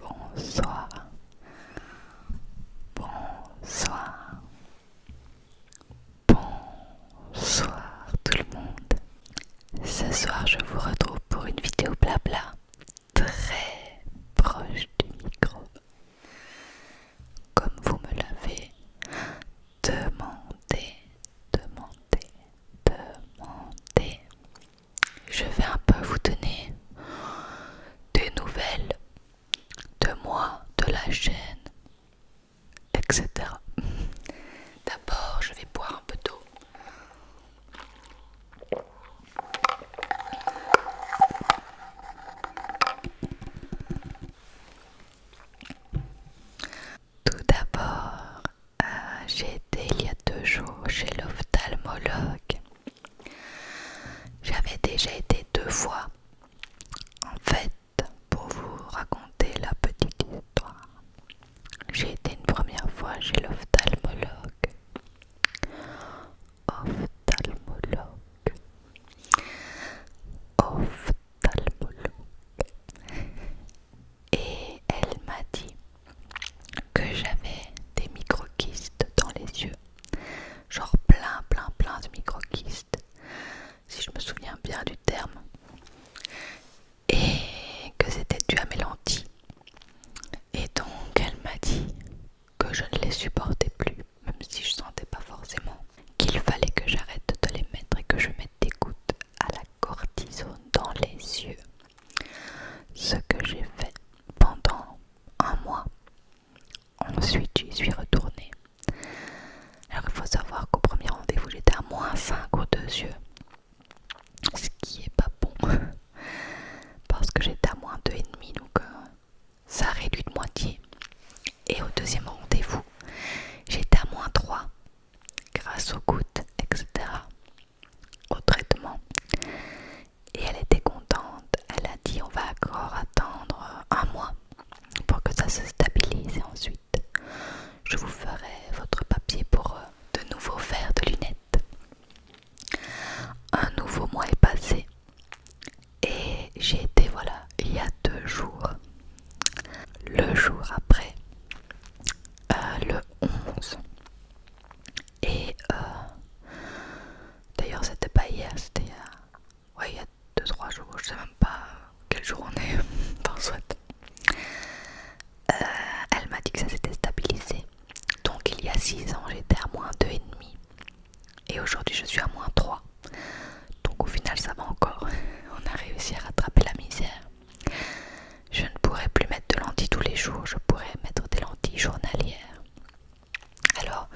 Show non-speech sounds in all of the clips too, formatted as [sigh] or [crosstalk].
Bonsoir. Bonsoir. Bonsoir tout le monde. Ce soir, je vous retrouve pour une vidéo blabla très proche du micro. Comme vous me l'avez demandé, demandé, demandé je vais un peu vous donner des nouvelles de moi, de la chaîne, etc. [laughs] D'abord, je vais boire un peu d'eau. Tout d'abord, euh, j'ai été il y a deux jours chez l'ophtalmologue. J'avais déjà été deux fois. En fait, pour vous raconter la petite histoire, j'ai été une première fois chez l'ophtalmologue. Ophtalmologue. Ophtalmologue. Et elle m'a dit que j'avais des microquistes dans les yeux. Genre plein, plein, plein de microquistes. Si je me souviens bien du terme. Et que c'était dû à mes lentilles. Et donc elle m'a dit que je ne les supportais plus, même si je sentais pas forcément qu'il fallait que j'arrête de les mettre et que je mette des gouttes à la cortisone dans les yeux. Ce que j'ai fait pendant un mois. Ensuite, j'y suis retourné. Alors, il faut savoir qu'au premier rendez-vous, j'étais à moins 5 aux deux yeux. Ce qui est pas bon. [laughs] Parce que j'étais à moins 2,5, donc euh, ça réduit de moitié. Et au deuxième rendez-vous, j'étais à moins 3 grâce aux gouttes, etc au traitement. Et elle était contente. Elle a dit on va encore attendre un mois pour que ça se stabilise et ensuite je vous ferai votre papier pour euh, de nouveaux verres de lunettes. Un nouveau mois est passé et j'ai été voilà il y a deux jours. Le jour après, euh, le 11. Et euh, d'ailleurs, c'était pas hier, c'était il y a, ouais, il y a 2-3 jours, je sais même pas quel jour on est, enfin [laughs] soit. Euh, elle m'a dit que ça s'était stabilisé. Donc il y a 6 ans, j'étais à moins 2,5. Et aujourd'hui, je suis à moins 3. Donc au final, ça va encore. [laughs] On a réussi à rattraper la misère. Je ne pourrais plus mettre de lentilles tous les jours, je pourrais mettre des lentilles journalières. Alors,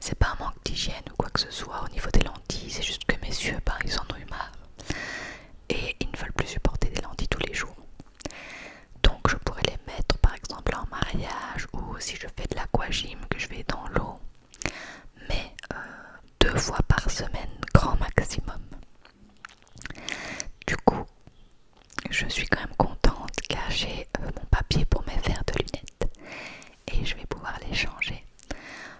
c'est pas un manque d'hygiène ou quoi que ce soit au niveau des lentilles, c'est juste que mes yeux, par ils en ont Et ils ne veulent plus supporter des lentilles tous les jours. Donc, je pourrais les mettre par exemple en mariage ou si je fais de l'aquagym, que je vais dans l'eau. Mais euh, deux fois par semaine, grand maximum. Du coup, je suis quand même contente car j'ai euh, mon papier pour mes verres de lunettes et je vais pouvoir les changer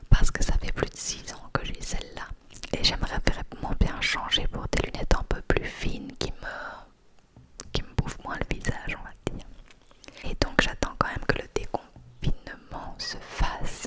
parce que ça fait plus de 6 ans que j'ai celle-là et j'aimerais vraiment bien changer pour des lunettes un peu plus fines qui me, qui me bouffent moins le visage, on va dire. Et donc j'attends quand même que le déconfinement se fasse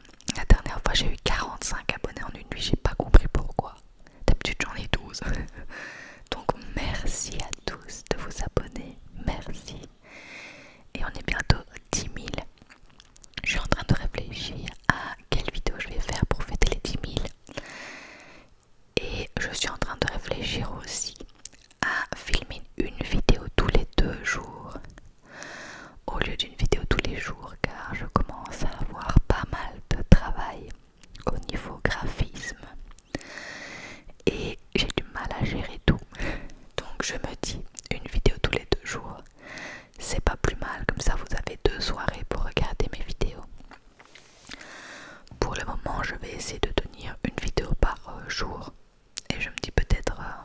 la dernière fois j'ai eu 45 abonnés en une nuit, j'ai pas compris pourquoi. D'habitude j'en ai 12. [laughs] Donc merci à tous de vous abonner, merci. Et on est bientôt 10 000. Je suis en train de réfléchir à quelle vidéo je vais faire pour fêter les 10 000. Et je suis en train de réfléchir aussi à filmer une vidéo tous les deux jours au lieu d'une vidéo tous les jours car je commence à avoir pas mal de travail au niveau graphisme et j'ai du mal à gérer tout. Donc je me dis une vidéo tous les deux jours, c'est pas plus mal, comme ça vous avez deux soirées pour regarder mes vidéos. Pour le moment, je vais essayer de tenir une vidéo par euh, jour et je me dis peut-être euh,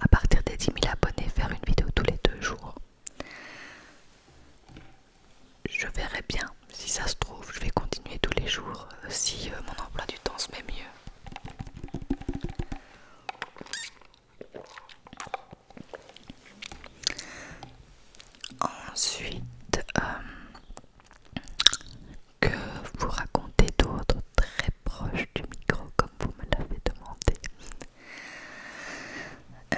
à partir des 10 000 abonnés faire une vidéo tous les deux jours. Je verrai bien, si ça se trouve, je vais continuer tous les jours euh, si euh, mon emploi du temps se met mieux. Ensuite, euh, que vous racontez d'autres très proches du micro comme vous me l'avez demandé euh,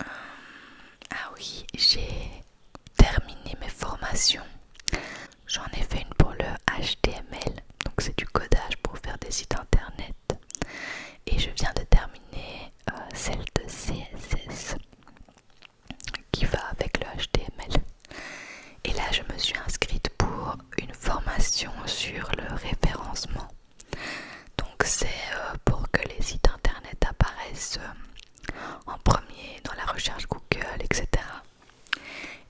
ah oui, j'ai terminé mes formations. J'en ai fait une pour le HTML, donc c'est du codage pour faire des sites internet. Et je viens de terminer euh, celle de CSS qui va avec le HTML. Et là, je me suis inscrite pour une formation sur le référencement. Donc c'est euh, pour que les sites internet apparaissent euh, en premier dans la recherche Google, etc.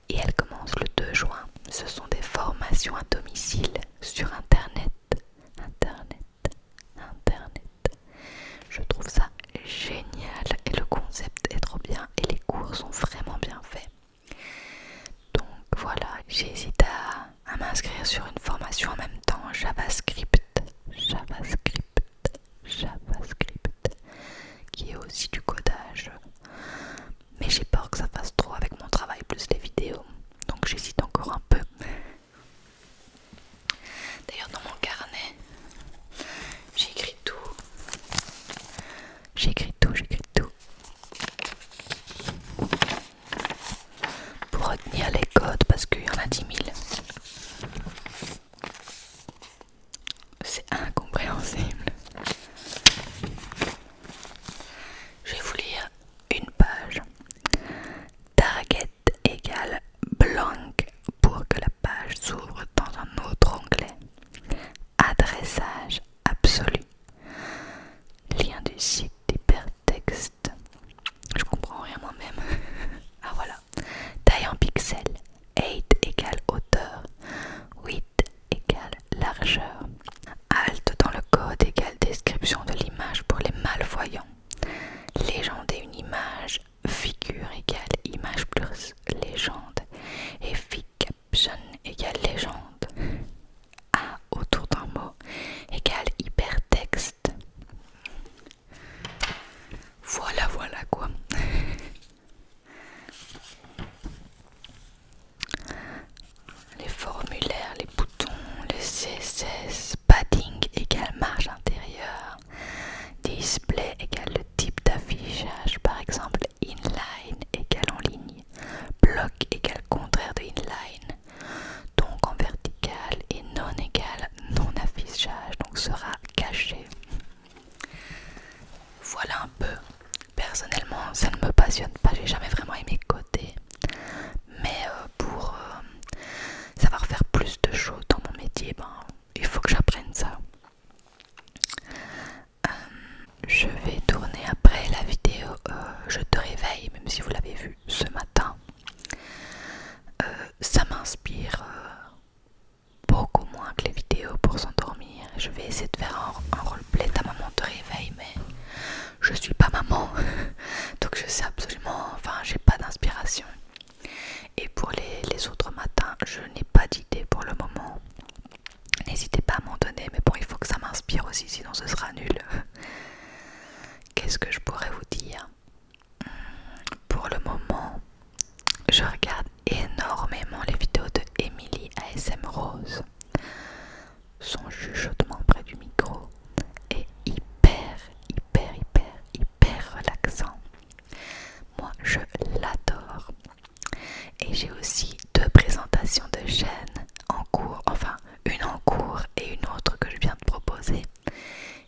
Et elle commence le 2 juin. Ce sont des formations à domicile sur internet. Internet. Internet. Je trouve ça génial et le concept est trop bien et les cours sont vraiment bien faits. Donc voilà, j'hésite à, m'inscrire sur une formation en même temps JavaScript, JavaScript, JavaScript, qui est aussi du codage. Mais j'ai peur que ça fasse trop avec mon travail plus les vidéos. Donc j'hésite encore un peu. D'ailleurs dans mon carnet, j'ai écrit tout. J'écris tout, j'écris tout. Pour retenir les codes, parce qu'il y en a 10 000. C'est incompréhensible. Je vais vous lire une page. Target égale blank pour que la page s'ouvre dans un autre onglet. Adressage absolu. Lien du site d'hypertexte. Je comprends rien moi-même. [laughs] ah voilà. Taille en pixels. 8 égale hauteur. 8 égale largeur. Alt dans le code égale description de l'image pour les malvoyants. Légender une image. Figure égale image plus légende et caption égale légende. A autour d'un mot égale hypertexte. Voilà, voilà quoi. Les formulaires, les boutons, les CSS, padding égale marge intérieure, display égale type d'affichage, par exemple inline égale en ligne, bloc égale contraire de inline, donc en vertical et non égale non affichage, donc sera caché. Voilà un peu. Personnellement, ça ne me passionne pas, j'ai jamais vraiment aimé côté. mais euh, pour euh, savoir faire plus de choses dans mon métier, ben, il faut que j'apprenne ça. Euh, je vais tourner après la vidéo euh, Je te réveille, même si vous l'avez vu ce matin. Euh, ça m'inspire beaucoup moins que les vidéos pour s'endormir. Je vais essayer de faire un, un roleplay Ta maman te réveille, mais je suis pas maman. [laughs] Donc je sais absolument, enfin j'ai pas d'inspiration. Et pour les, autres matins, je n'ai pas d'idée pour le moment. N'hésitez pas à m'en donner, mais bon, il faut que ça m'inspire aussi, sinon ce sera nul. [laughs] Qu'est-ce que je pourrais vous dire hmm, Pour le moment, je regarde énormément les vidéos de Emily ASM Rose. Son chuchotement près du micro est hyper, hyper, hyper, hyper relaxant. Moi, je l'adore. Et j'ai aussi deux présentations de chaînes en cours, enfin une en cours et une autre que je viens de proposer.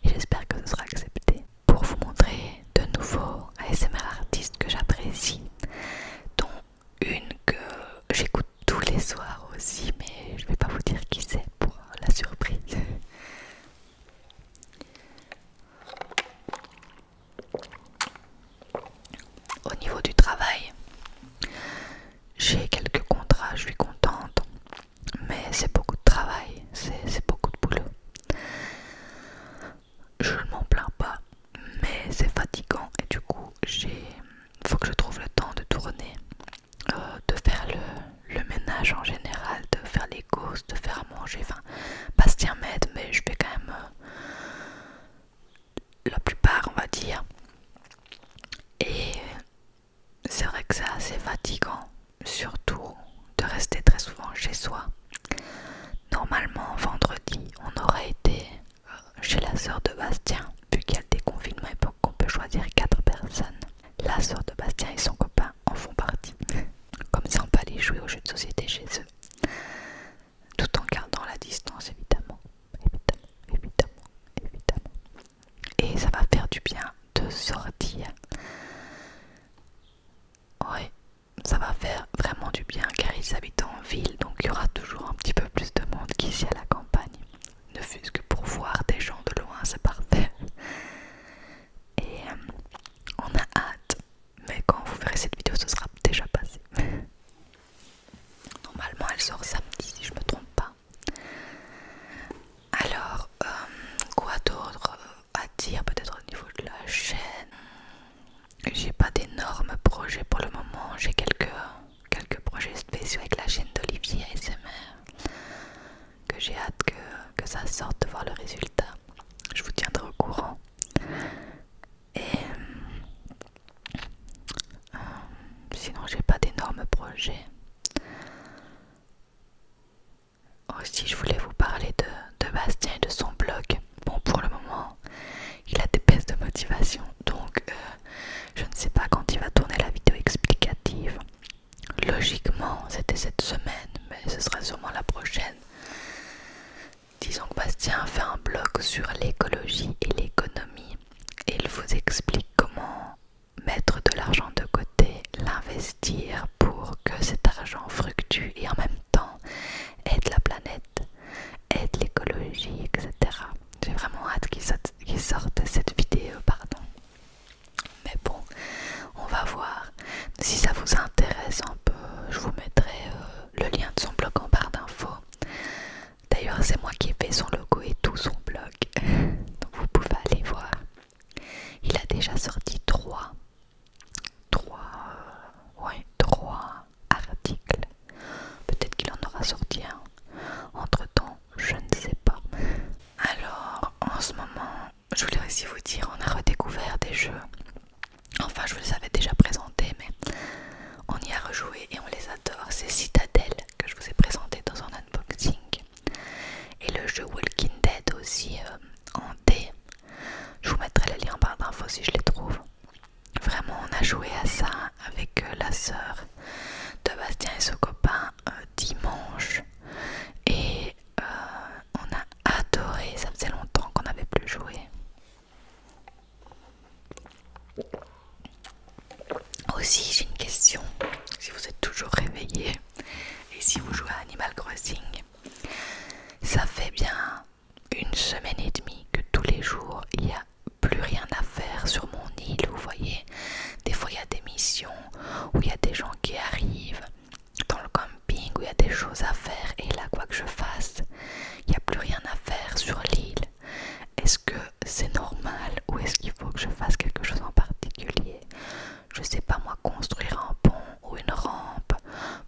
J'espère que ce sera accepté. Pour vous montrer de nouveaux ASMR artistes que j'apprécie, dont une que j'écoute tous les soirs aussi, mais je vais pas vous dire qui c'est pour la surprise. Au niveau du travail, j'ai quelques contrats, je suis contente, mais c'est beaucoup de travail, c'est beaucoup de boulot. Je ne m'en plains pas, mais c'est fatigant et du coup, j'ai faut que je trouve le temps de tourner, euh, de faire le, le ménage en général, de faire les de faire à manger. Enfin, Bastien m'aide, mais je fais quand même euh, la plupart, on va dire. Et c'est vrai que c'est assez fatigant, surtout de rester très souvent chez soi. Normalement, vendredi, on aurait été euh, chez la soeur de Bastien, vu qu'il y a le déconfinement et qu'on peut choisir quatre personnes. La soeur de Bastien et son copain en font partie, comme si on peut aller jouer aux jeux de société chez eux, tout en gardant la distance évidemment, évidemment, évidemment, évidemment. Et ça va faire du bien de sortir. Ouais, ça va faire vraiment du bien car ils habitent en ville, donc il y aura toujours un petit peu plus de monde qu'ici à la campagne. Ne fût-ce que pour voir des gens de loin, c'est parfait et euh, on a hâte, mais quand vous verrez cette vidéo, ce sera déjà passé. [laughs] Normalement, elle sort samedi si je me trompe pas. Alors, euh, quoi d'autre euh, à dire peut-être au niveau de la chaîne J'ai pas d'énormes projets pour le moment, j'ai quelques, quelques projets spéciaux avec la chaîne d'Olivier SMR que j'ai hâte que, ça sorte de voir le résultat. Je vous tiendrai au courant. Et euh, sinon, j'ai pas d'énormes projets. Aussi, je voulais vous parler de, Bastien et de son blog. Bon, pour le moment, il a des baisses de motivation, donc euh, je ne sais pas quand il va tourner la vidéo explicative. Logiquement, c'était cette semaine, mais ce sera sûrement la prochaine. Disons que Bastien fait un blog sur l'écologie et l'économie et il vous explique comment mettre de l'argent de côté, l'investir pour que cet argent fructue et en même temps aide la planète, aide l'écologie, etc. J'ai vraiment hâte qu'il sorte, cette vidéo, pardon. Mais bon, on va voir. Si ça vous intéresse un peu, je vous mettrai euh, le lien de son blog en barre d'infos. D'ailleurs, c'est moi qui ai fait son logo et tout son blog. [laughs] Donc vous pouvez aller voir. Il a déjà sorti 3 Trois. Euh, ouais, trois articles. Peut-être qu'il en aura sorti un. Entre temps, je ne sais pas. [laughs] Alors, en ce moment, je voulais aussi vous dire, on a redécouvert des jeux. Enfin, je vous les avais déjà présentés, mais on y a rejoué et on les adore. C'est Citadel que je vous ai présenté dans un unboxing. Et le jeu Walking Dead aussi euh, en D. Je vous mettrai les lien en barre d'infos si je les trouve. Vraiment, on a joué à ça avec euh, la sœur de Bastien et son copain euh, dimanche. Et euh, on a adoré, ça faisait longtemps qu'on n'avait plus joué. Aussi, j'ai une question, si vous êtes toujours réveillé et si vous jouez à Animal Crossing, ça fait bien une semaine et demie que tous les jours il n'y a plus rien à faire sur mon île, vous voyez. Des fois il y a des missions où il y a des gens qui arrivent, dans le camping où il y a des choses à faire et là quoi que je fasse, il n'y a plus rien à faire sur l'île. Est-ce que c'est normal ou est-ce qu'il faut que je fasse quelque chose en particulier Je sais pas moi, construire un pont ou une rampe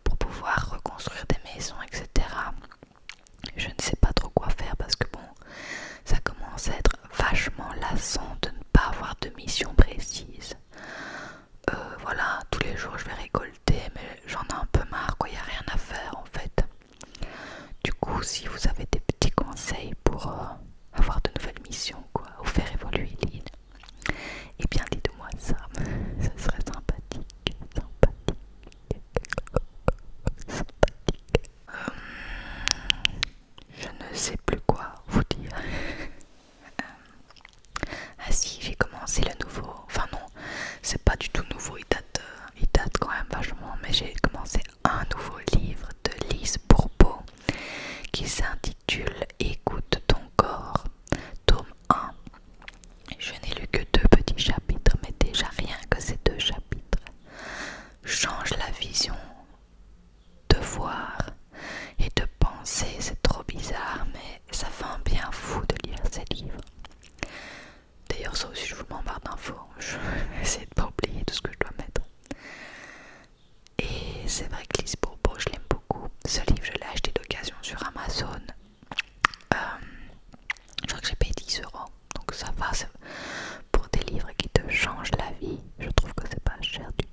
pour pouvoir reconstruire des maisons, etc. Je ne sais pas trop quoi faire parce que bon, ça commence à être vachement lassant de ne pas avoir de mission précise. Euh, voilà, tous les jours je vais récolter, mais j'en ai un peu marre, quoi, il n'y a rien à faire en fait. Du coup, si vous avez des petits conseils pour euh, avoir de nouvelles missions, quoi, ou faire évoluer l'île, et eh bien dites-moi ça, ce [laughs] serait sympathique, sympathique, [laughs] euh, je ne sais plus quoi vous dire. [laughs] Euh, ah si, j'ai commencé le nouveau. Enfin non, c'est pas du tout nouveau, euh, il date, quand même vachement. Mais j'ai commencé un nouveau livre de Lise Bourbeau qui s'intitule Écoute ton corps, tome 1. Je n'ai lu que deux petits chapitres, mais déjà rien que ces deux chapitres changent la vision de voir et de penser. C'est trop bizarre, mais ça fait un bien fou de lire ces livres. D'ailleurs, ça aussi, je vous m'embarque d'infos. [laughs] Je vais essayer de pas oublier tout ce que je dois mettre. Et c'est vrai que Lise je l'aime beaucoup. Ce livre, je l'ai acheté d'occasion sur Amazon. Euh, je crois que j'ai payé 10 euros. Donc ça va, pour des livres qui te changent la vie, je trouve que c'est pas cher du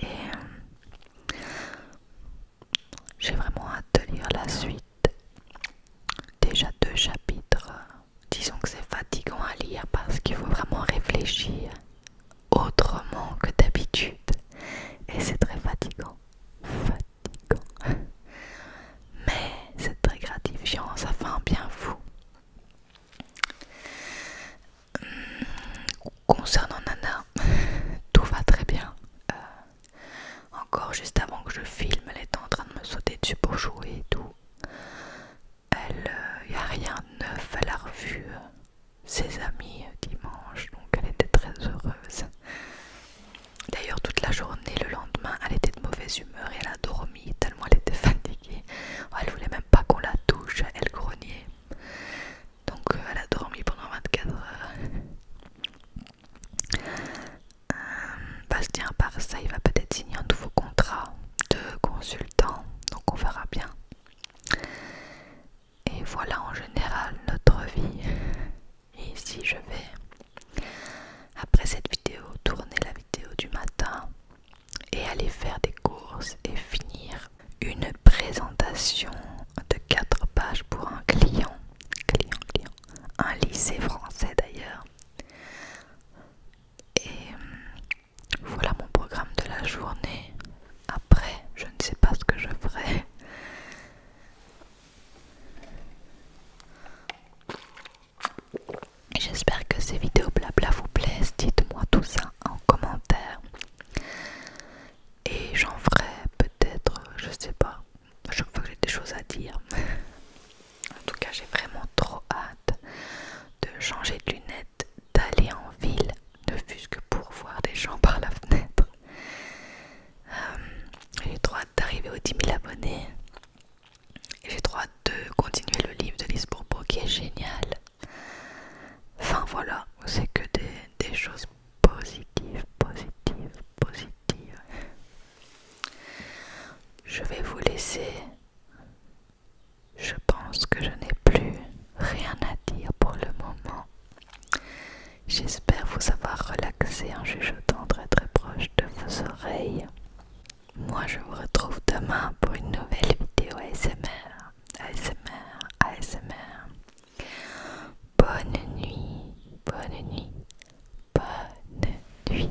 et euh, j'ai vraiment hâte de lire la suite. Déjà deux chapitres. Disons que c'est fatigant à lire parce qu'il faut vraiment réfléchir autrement que d'habitude. Et c'est très fatigant. Fatigant. Mais c'est très gratifiant, ça fait un bien fou. Hmm, concernant Nana, [laughs] tout va très bien. Euh, encore juste avant que je filme, elle était en train de me sauter dessus pour jouer et tout. Elle, il euh, a rien de neuf, elle a revu ses amis euh, dimanche, donc elle était très heureuse. D'ailleurs, toute la journée, le lendemain, elle était de mauvaise humeur et elle a dormi tellement elle était fatiguée. Elle voulait même pas qu'on la touche, elle grognait. Donc euh, elle a dormi pendant 24 heures. Euh, Bastien, à ça, il va peut-être signer un nouveau contrat de consultant. Donc on verra bien. Et voilà en général notre vie. Et ici je vais, après cette vidéo, tourner la vidéo du matin et aller faire des courses et finir une présentation de 4 pages pour un client, client, client, un lycée français d'ailleurs. Et hum, voilà mon programme de la journée. Après, je ne sais pas ce que je ferai. [laughs] J'espère que ces vidéos blabla vous plaisent. Dites-moi tout ça en commentaire. Et j'en ferai peut-être, je sais pas, à chaque fois que j'ai des choses à dire. [laughs] en tout cas, j'ai vraiment trop hâte de changer de lunettes, d'aller en ville, ne fût-ce que pour voir des gens par la fenêtre. Euh, j'ai trop hâte d'arriver aux 10 000 abonnés j'ai droit de continuer le livre de Lise qui est génial. Enfin voilà, c'est que des, des choses positives, positives, positives. Je vais vous laisser. Je pense que je n'ai plus rien à dire pour le moment. J'espère vous avoir relaxé en chuchotant très très proche de vos oreilles. Moi je vous retrouve demain pour une nouvelle vidéo ASMR. ASMR, ASMR. Bonne nuit, bonne nuit, bonne nuit.